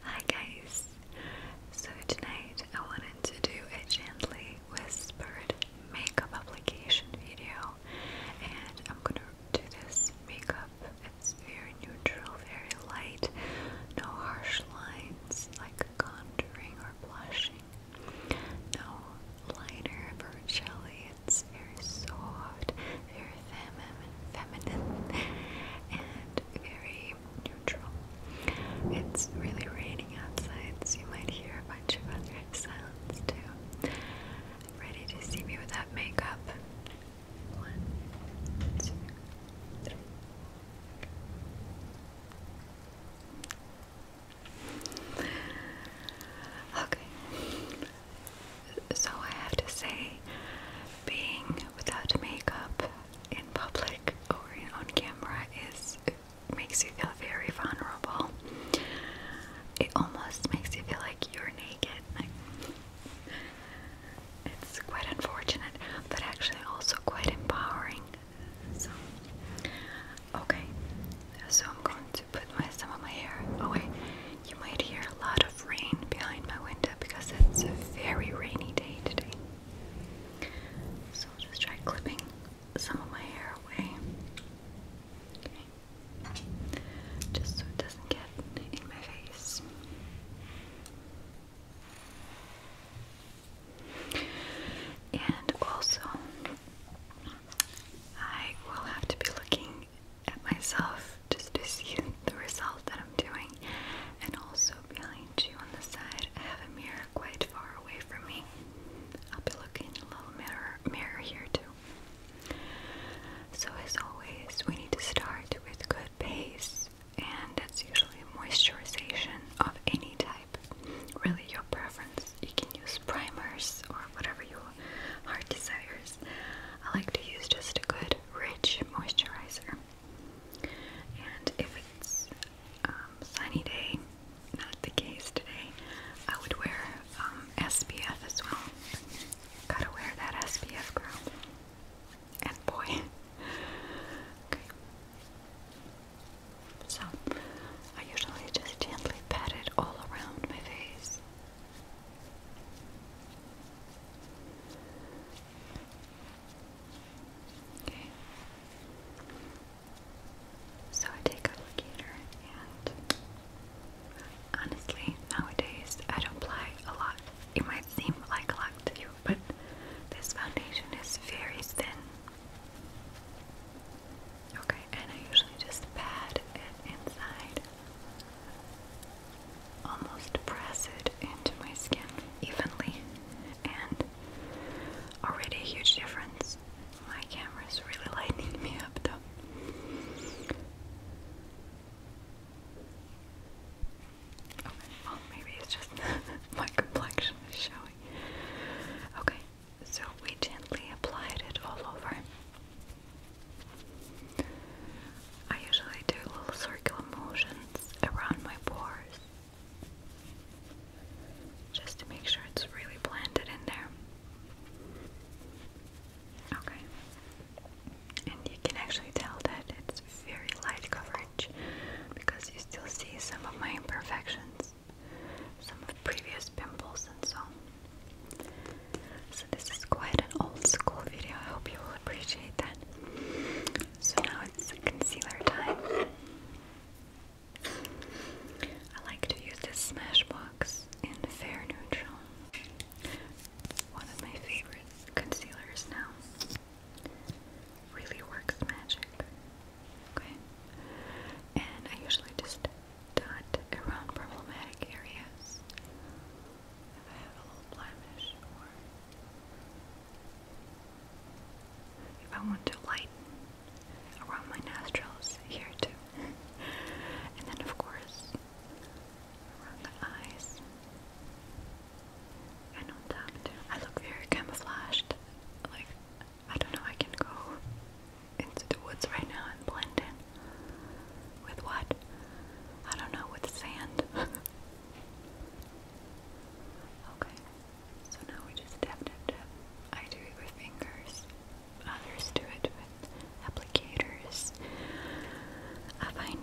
Hi guys! So tonight I wanted to do a gently whispered makeup application video and I'm gonna do this makeup. It's very neutral, very light, no harsh lines like contouring or blushing, no liner or jelly. It's very soft, very feminine, feminine and very neutral. It's really raining outside, so you might hear a bunch of other sounds too. Ready to see me without makeup? One, two, three. Okay so I have to say, being without makeup in public or on camera is makes you feel very vulnerable. It almost makes you feel like you're naked. it's quite unfortunate, but actually also quite empowering. So, okay, so I'm going to put my some of my hair Oh wait, You might hear a lot of rain behind my window because it's a very rainy day today. So I'll just try clipping some of my hair away. Just so it doesn't get in my face. And also, I will have to be looking at myself just to see the result that I'm doing. And also feeling you on the side, I have a mirror quite far away from me. I'll be looking in a little mirror, mirror here too. So as always, we need to start with good base, and that's usually moisturization of any type. Really, your preference. You can use primers or whatever you heart desires. I like to use just a good, rich moisturizer. And if it's um, sunny day, not the case today, I would wear um, SPF as well. Gotta wear that SPF, girl. And boy. So, I usually just gently pat it all around my face. Okay. So I take a locator and honestly nowadays I don't apply a lot. It might seem like a lot to you, but this foundation is very thin. Okay, and I usually just pat it inside almost press it into my skin evenly, and already a huge difference. My camera's really lighting me up though. Okay, well, maybe it's just my complexion is showing. Okay, so we gently applied it all over. I usually do little circular motions around my pores just to make sure it's really blended in there. Okay. And you can actually tell that it's very light coverage because you still see some of my imperfections, some of previous pimples and so So this is quite an old school video. I hope you will appreciate that. So now it's concealer time. I like to use this Smashbox in Fair Neutral. One of my favorite concealers now. Really works magic. Okay. And I usually just dot around problematic areas if I have a little blemish or if I want to lighten around my nostrils here too. and then of course around the eyes and on top I look very camouflaged. Like I don't know, I can go into the woods right now and blend in with what? I don't know, with sand. Okay, so now we just tap, tap, tap. I do it with fingers, others do it with applicators. I find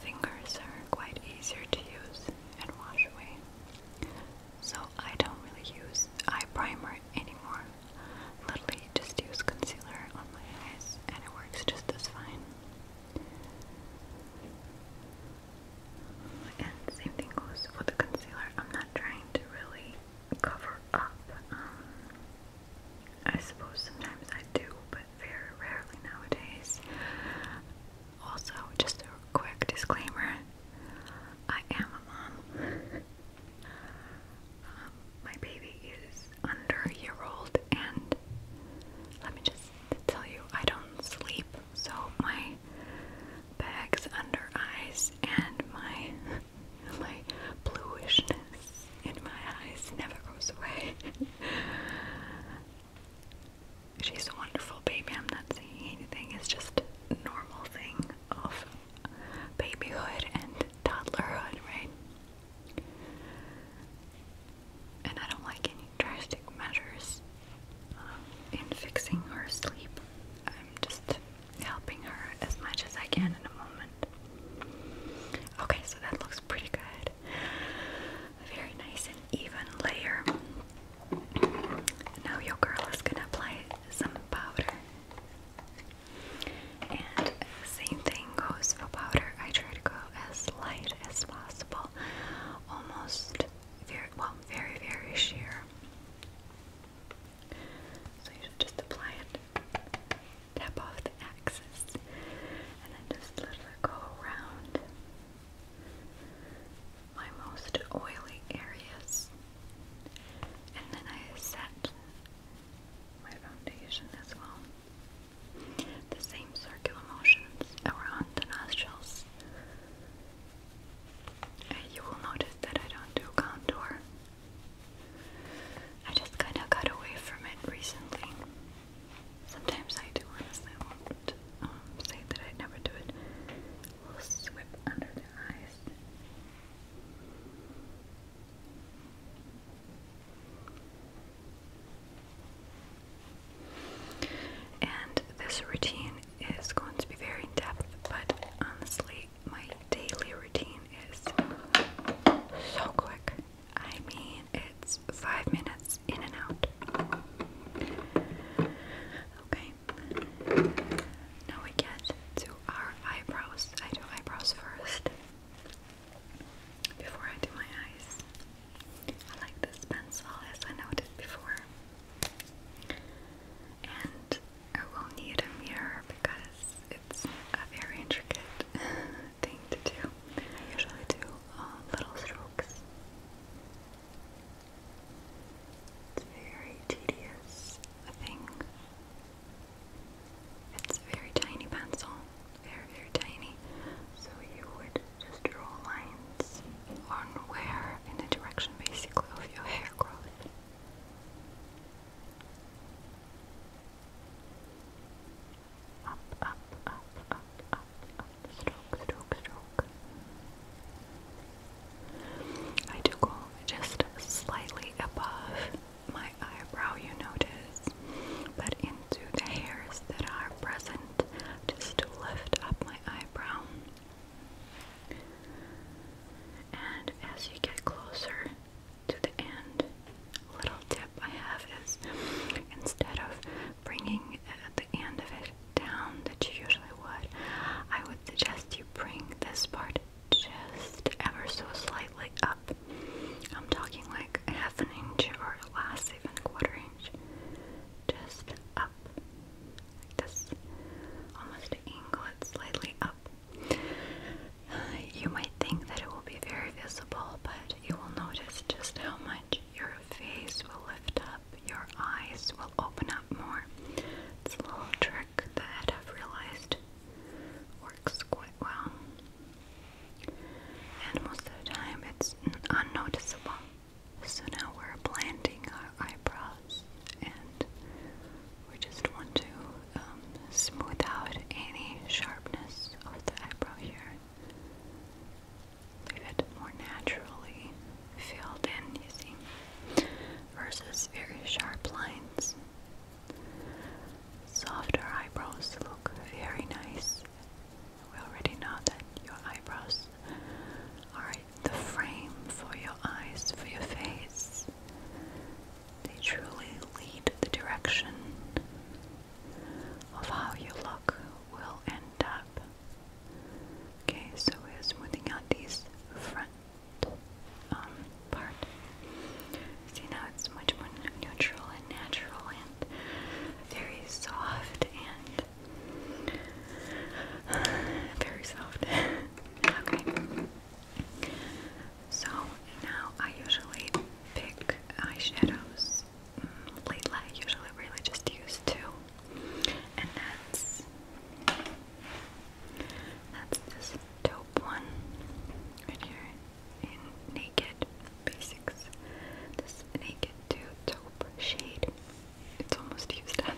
fingers are quite easier to use and wash away. So I don't really use eye primer anymore. Literally just use concealer on my eyes and it works just as fine. And same thing goes for the concealer. I'm not trying to really cover up. Um, I suppose sometimes I do, but very rarely nowadays. Also, just a quick disclaimer I am a mom. Um, my baby is under year old, and let me just tell you, I don't sleep, so my bags under eyes and my my bluishness in my eyes never goes away. She's a wonderful baby. I'm not saying anything. It's just normal thing of babyhood and toddlerhood, right? And I don't like any drastic measures um, in fixing her sleep. I'm just helping her as much as I can in a moment. Okay, so that looks pretty good. very nice and even layer. Now your girl is gonna apply some powder. And same thing goes for powder. I try to go as light as possible almost very well, very very sheer. So you should just apply it, tap off the axis, and then just let go around my most oily areas. And then I set my foundation as well. The same circular motions around the nostrils. Uh, you will notice that I don't do contour. I just kind of got away from it recently. Sometimes I do, honestly, I won't um, say that I never do it. A little sweep under the eyes. And this routine is going to be very in depth, but honestly, my daily routine is so quick. I mean, it's five minutes in and out. Okay, now we get to our eyebrows. I do eyebrows first before I do my eyes. I like this pencil as I noted before. And I will need a mirror because it's a very intricate thing to do. I usually do uh, little strokes. It's very tedious thing. It's a very tiny pencil very, very tiny. So you would just draw lines on where, in the direction basically of your hair growth. Up, up, up, up, up, up, stroke, stroke, stroke. I do go just slightly above my eyebrow, you notice, but into the hairs that are present just to lift up my eyebrow. And as you get closer to the end, little tip I have is instead of bringing uh, the end of it down that you usually would, I would suggest you bring this part just ever so slightly up. I'm talking like half an inch or less, even quarter just up. Like this. Almost angle it slightly up. Uh, you might think that it will be very visible, but you will notice just how much your face will lift up, your eyes will open up more. It's a little trick that I've realized works quite well and most of the time it's unnoticeable. So now we're blending our eyebrows and we just want to um, smooth out any sharpness of the eyebrow here. Leave it more naturally filled in, you see, versus very sharp lines. Softer eyebrows look very nice we already know that your eyebrows are the frame for your eyes, for your face. They truly lead the direction of how your look will end up. Okay, so we're smoothing out these front um, part. See now it's much more neutral and natural very soft and very soft. okay. So now I usually pick eyeshadows. Mm, lately, I usually really just use two, and that's that's this dope one right here in Naked basics. This Naked Two taupe shade. It's almost used up.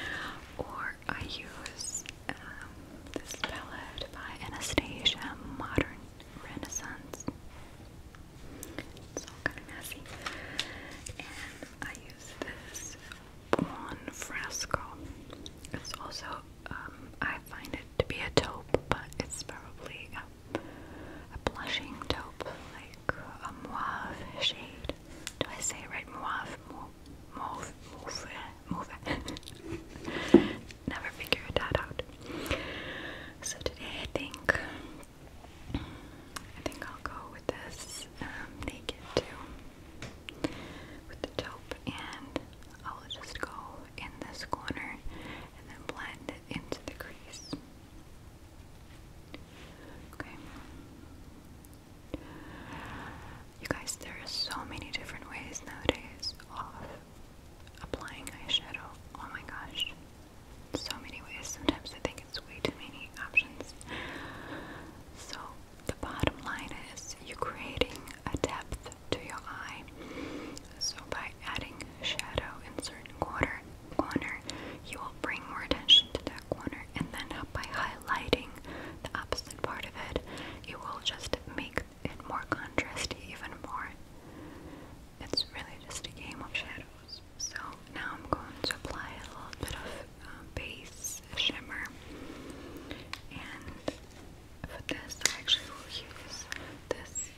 Or I use um, this palette by Anastasia Modern Renaissance. It's all kind of messy. And I use this Buon Fresco. It's also, um, I find it to be a taupe, but it's probably a blushing taupe, like a mauve shade. Do I say it right? Mauve, mauve, mauve, mauve. Never figured that out. So today I think I think I'll go with this um, naked too, with the taupe, and I'll just go in this corner and then blend it into the crease. Okay. You guys, there are so many different ways nowadays of applying eyeshadow. Oh my gosh. So many ways. Sometimes I think it's way too many options. So, the bottom line is you're creating a depth to your eye. So, by adding shadow in certain corner, corner, you will bring more attention to that corner, and then by highlighting the opposite part of it, you will just make it more contrasty even more. It's really just a game of shadows. So now I'm going to apply a little bit of um, base shimmer, and for this I actually will use this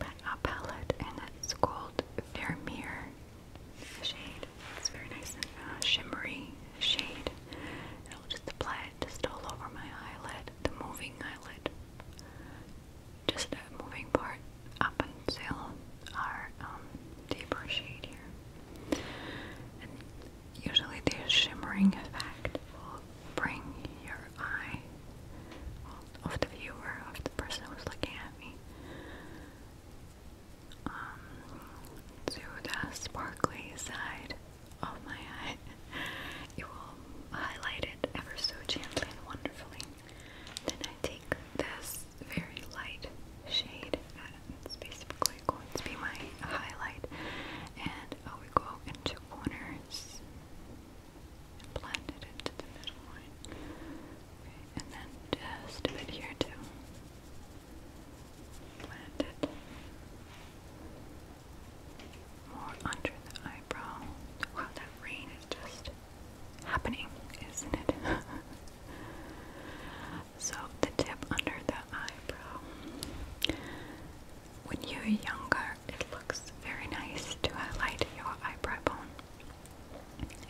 a palette, and it's called Vermeer shade. It's very nice and uh, shimmery shade. I'll just apply it just all over my eyelid, the moving eyelid, just a moving part up until our um, deeper shade here. And usually, the shimmering effect will bring your eye of the viewer, of the person who's looking at me. Um, to the sparkly side of my eye. It will highlight it ever so gently and wonderfully. Then I take this very light shade, basically uh, going to be my highlight, and I uh, go into corners and blend it into the middle Okay, and then just a bit here too. Blend it more under the eyebrow. Wow, that rain is just happening, isn't it? so the tip under the eyebrow. When you're younger, it looks very nice to highlight your eyebrow bone.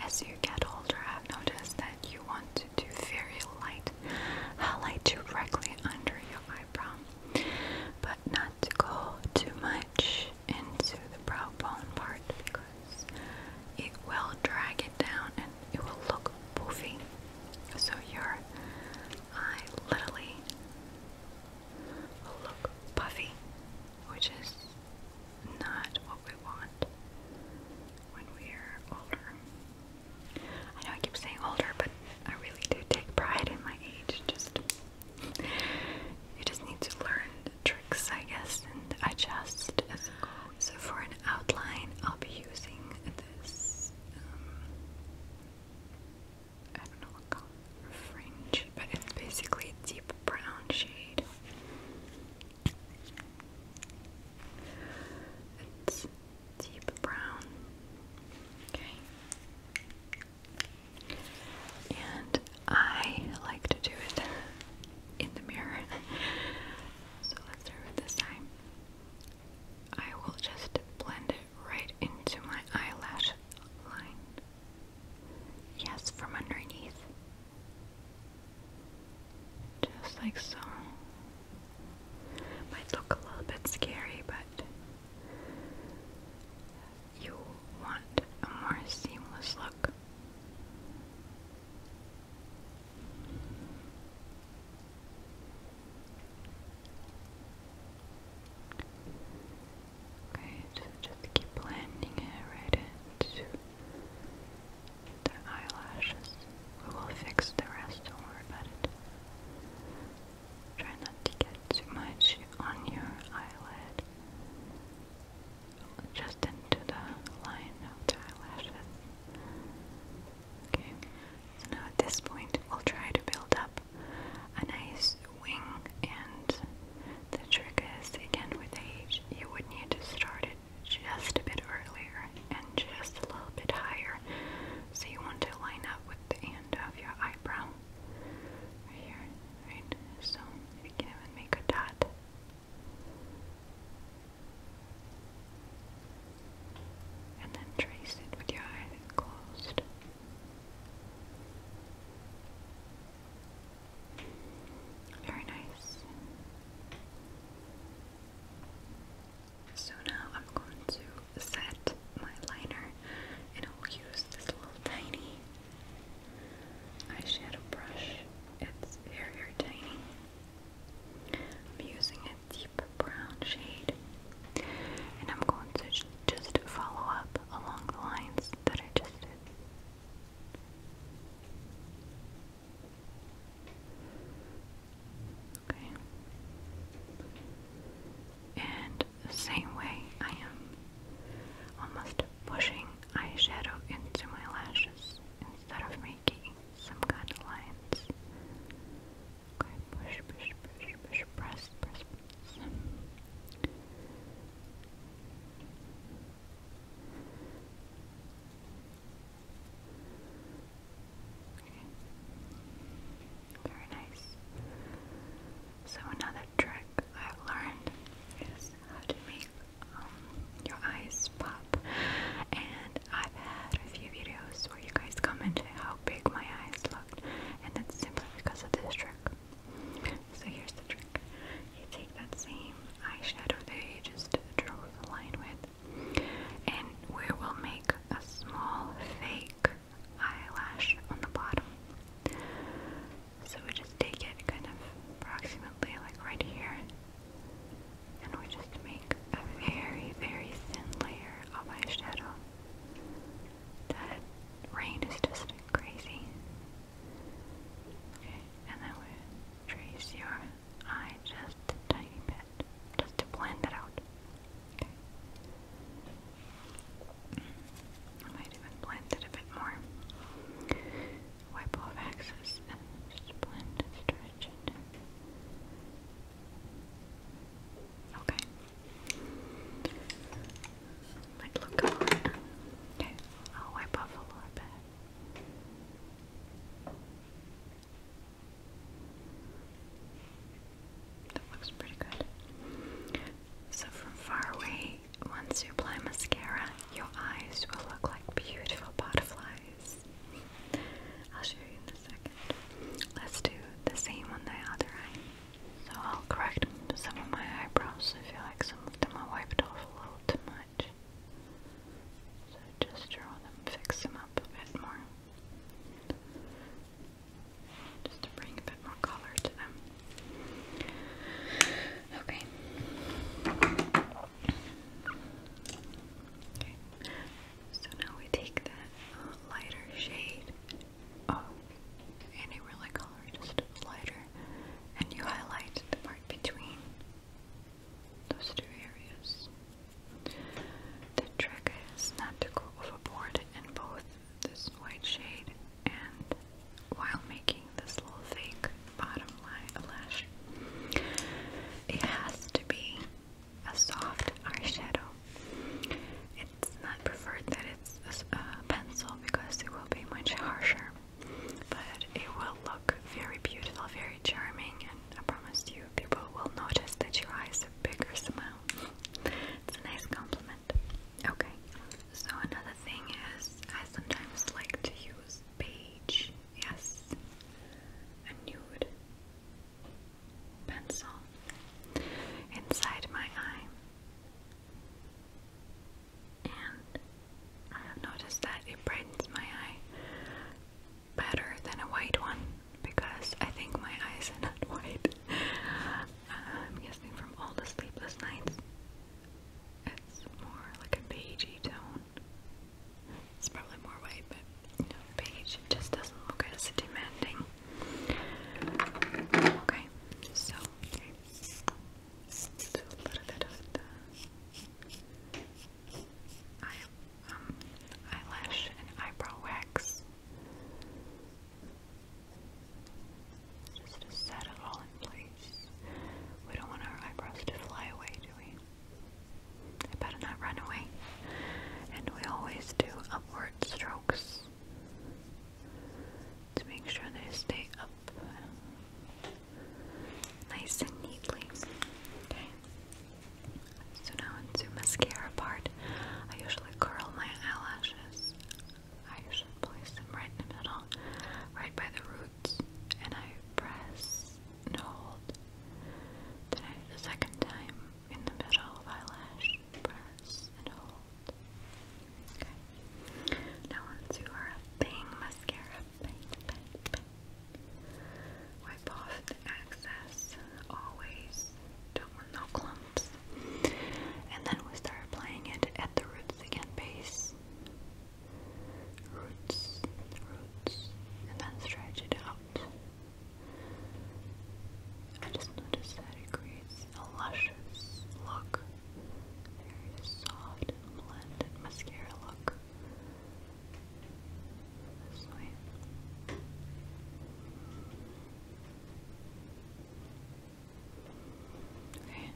As you get older, I've noticed that you want to do very light highlight directly under your eyebrow, but not to go too much into the brow bone part because it will drag it down and it will look poofy. So your eye literally look puffy, which is not what we want when we're older. I know I keep saying older, but I really do take pride in my age. Just you just need to learn the tricks, I guess, and adjust as you go. So for an outline, I'll be using this. Um, I don't know what color, fringe but it's basically a deep brown shade. It's deep brown. Okay. And I like to do it in the mirror. so let's start with this time. I will just blend it right into my eyelash line. Yes, from underneath. Just like so. Might look a little bit scary, but you want a more seamless look. Okay, just keep blending it right into the eyelashes. We will fix the rest, don't worry about it. Try not to get too much on your eyelid. Just into the line of the eyelashes. Okay, so now at this point we'll try to build up a nice wing and the trick is again with age you would need to start it just a bit earlier and just a little bit higher so you want to line up with the end of your eyebrow right here right so you can even make a dot and then trace it with your eyes closed very nice. So now I'm going to set my liner and I'll use this little tiny eyeshadow brush. It's very, very tiny. I'm using a deep brown shade and I'm going to just follow up along the lines that I just did. Okay. And same way I am almost pushing eyeshadow into my lashes instead of making some kind of lines. Okay, push, push, push, push, press, press, press. Very nice. So another trick I've learned is how to make um, your eyes pop. And I've had a few videos where you guys commented how big my eyes looked, and that's simply because of this trick. So here's the trick. You take that same eyeshadow that you just drew the line with and we will make a small fake eyelash on the bottom. So we just take it kind of approximately like right here and we just make a very, very thin layer of eyeshadow. That rain is just crazy. Okay, and then we trace your eye just a tiny bit, just to blend it out. I might even blend it a bit more. Wipe off excess just blend stretch Okay. Might look a Okay, I'll wipe off a little bit. That looks pretty good. So from far away, once you apply mascara, your eyes will look like beautiful butterflies. I'll show you in a second. Let's do the same on the other eye. So I'll correct some of my eyebrows if you like, after wiped off a little too much. So just draw them, fix them up a bit more. Just to bring a bit more color to them. Okay. So now we take that lighter shade. Oh, any really color, oh, just lighter and you highlight the part between those two areas. The trick is not to go overboard in both this white shade and while making this little fake bottom line lash. It has to be a soft eyeshadow. It's not preferred that it's a pencil because it will be much harsher but it will look very beautiful, very charming, and I promise you, people will notice that your eyes are bigger somehow. It's a nice compliment. Okay, so another thing is I sometimes like to use beige, yes, a nude pencil inside my eye and I have noticed that it brightens my eye better than a white one because I think my eyes are not white. I'm guessing from all the sleepless nights, it's more like a beigey tone. It's probably more white, but you know, beige just doesn't look as demanding. Okay, so Let's do a little bit of the eye, um, eyelash and eyebrow wax. Just to set it all in place. We don't want our eyebrows to fly away, do we? They better not run away. And we always do upward strokes to make sure they stay up nice and neatly. Okay. So now into mascara part. I usually curl my eyelashes. I usually place them right in the middle, right by the roots, and I press and hold. Then I the second time in the middle eyelash, press and hold. Okay. Now onto our thing mascara. Wipe off excess. Always. Don't want no clumps. And then we start applying it at the roots again. Base. Roots. Roots. And then stretch it out. I just noticed that it creates a luscious look very soft and blended mascara look this okay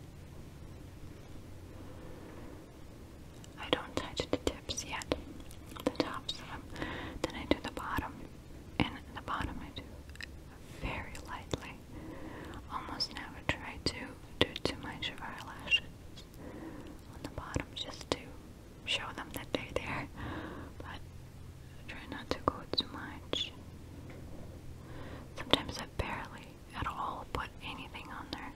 I don't touch the tips yet the tops of them um, then I do the bottom and the bottom I do very lightly Almost never try to do too much of our lashes on the bottom just to show them that they're there, but try not to go too much. Sometimes I barely at all put anything on there,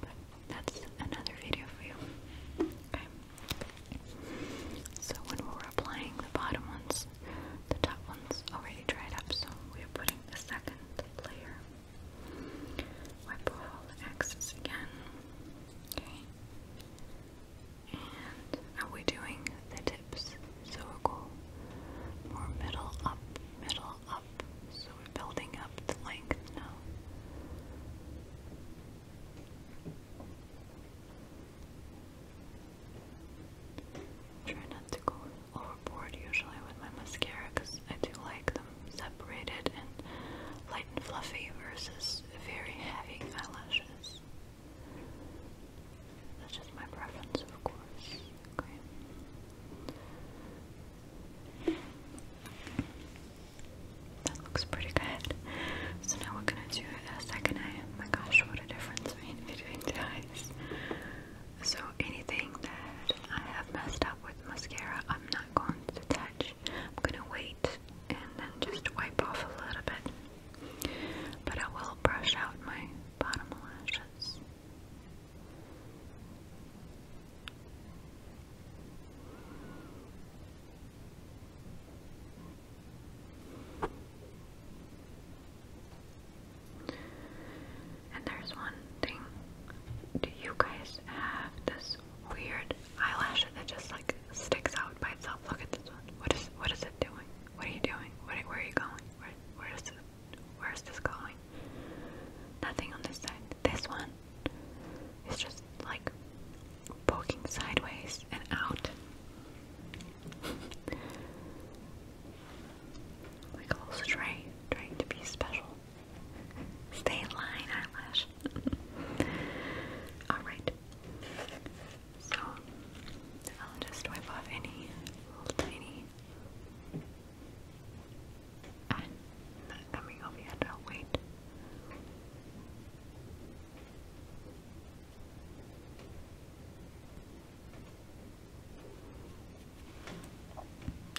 but that's another video for you. Okay. So when we're applying the bottom ones, the top one's already dried up, so we are putting the second layer. Wipe off the excess again. And now we're doing the tips. So we go more middle up, middle up. So we're building up the length now. Try not to go overboard usually with my mascara because I do like them separated and light and fluffy versus very heavy eyelashes. That's just my preference, of course. Okay. That looks pretty good. So now we're gonna do a second eye. Oh my gosh, what a difference made between two eyes. So anything that I have messed up with mascara, I'm not going to touch. I'm going to wait and then just wipe off a little bit. But I will brush out my bottom lashes. And there's one thing. Do you guys have this weird eyelash that just like sticks out by itself? Look at this one. What is what is it doing? What are you doing? where are you going? where is it? Where is this going? Nothing on this side. This one is just like poking sideways and out. Like a little stray, trying to be special. Stay in line, eyelash. Alright. So, I'll just wipe off any little tiny. I'm ah, coming over yet, wait.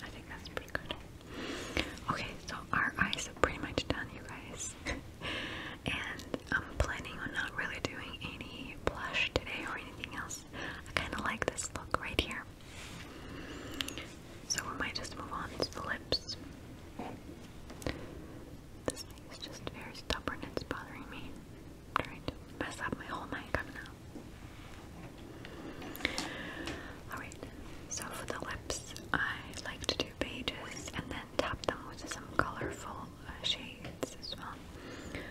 I think that's pretty good. Okay, so our eyes are pretty much done, you guys. and I'm planning on not really doing any blush today or anything else. I kind of like this look right here. So we might just move on to the lips. This thing is just very stubborn, it's bothering me. I'm trying to mess up my whole makeup now. Alright, so for the lips, I like to do pages and then tap them with some colorful uh, shades as well.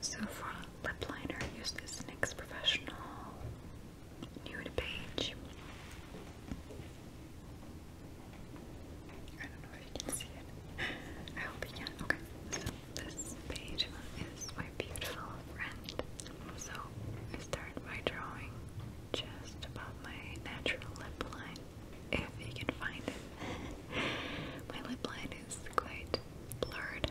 So for lip liner, I use this NYX Professional Nude Page. I don't know if you can see it. I hope you can. Okay, this page is my beautiful friend. So I start by drawing just above my natural lip line, if you can find it. my lip line is quite blurred.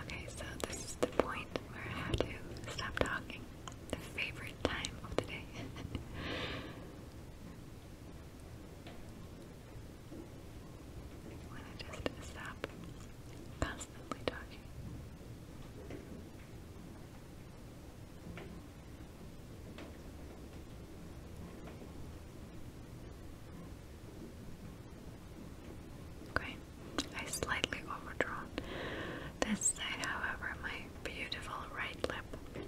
Okay, so this is the point where I have to stop talking. The favorite time of the day. when I just stop constantly talking. Okay, I slightly overdrawn this side, however, my beautiful right lip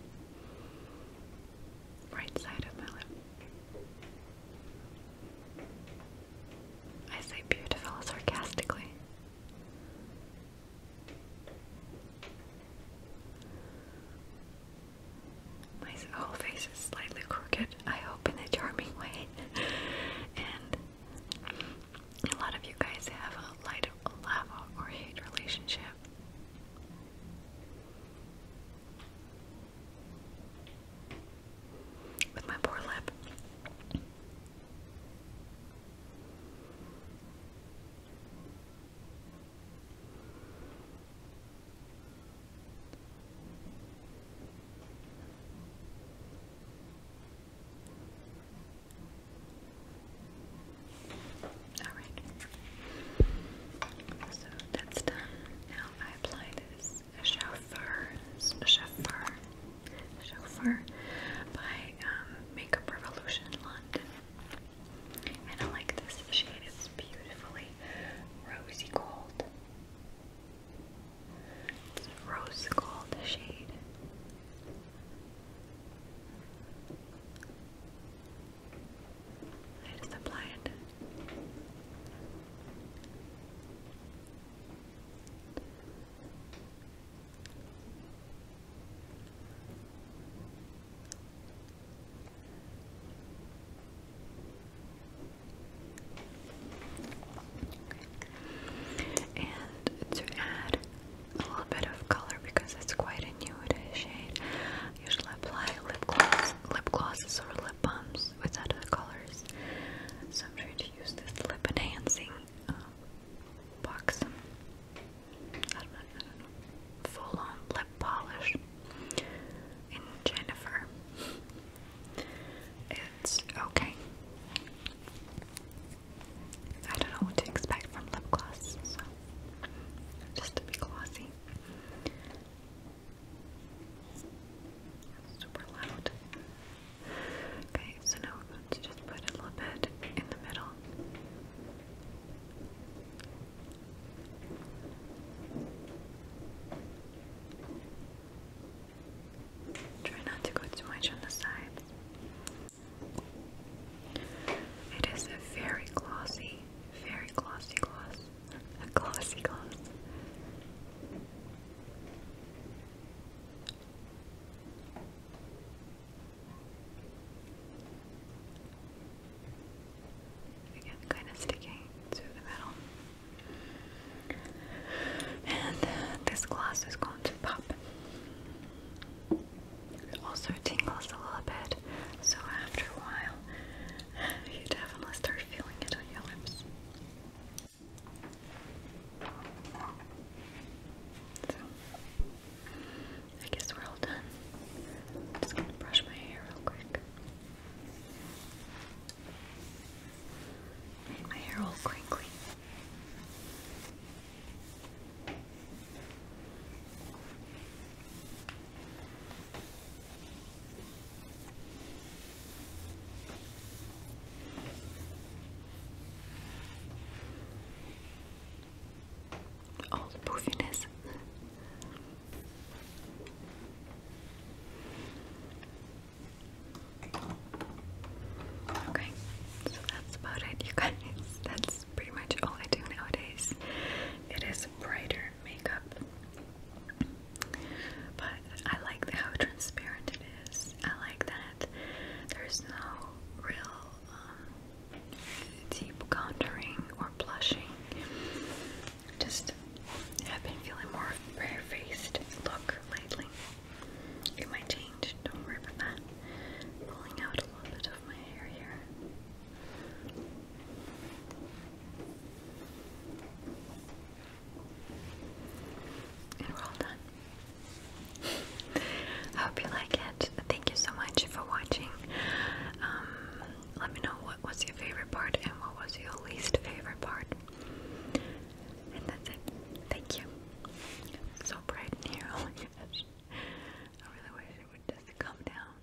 right side of my lip. I say beautiful sarcastically. My whole face is slightly crooked, I hope in a charming way. and a lot of you guys have a light love or hate relationship with my poor lip. All right. So that's done. Now I apply this Chauffeur, Chauffeur, Chauffeur by um, Makeup Revolution London. And I like this shade, it's beautifully rosy gold. It's a gold shade. I just apply it. Okay. And to add a little bit of color because it's quite a nude shade, usually apply lip gloss, lip glosses or lip with other colors. So I'm trying to use this lip enhancing box. Full on lip polish in Jennifer. It's okay. I don't know what to expect from lip gloss, so just to be glossy. Super loud. Okay, so now we're just put a little bit in the middle. Try not to go too much on the sides. It is a very glossy, very glossy gloss. A glossy gloss. Again, kind of sticking to the metal. And uh, this glass is going to pop. also tingles a little bit, so after a while, you definitely start feeling it on your lips. So, I guess we're all done. am just gonna brush my hair real quick. Make my hair all crinkly. All oh, poofiness. Okay, so that's about it, you guys. That's pretty much all I do nowadays. It is brighter makeup. But I like how transparent it is. I like that there's no real um, deep contouring or blushing. Just I've been feeling more fair faced look lately. It might change, don't worry about that. Pulling out a little bit of my hair here. I hope you like it. Thank you so much for watching. Um, let me know what was your favorite part and what was your least favorite part. And that's it. Thank you. so bright in here. Oh my gosh. I really wish it would just come down.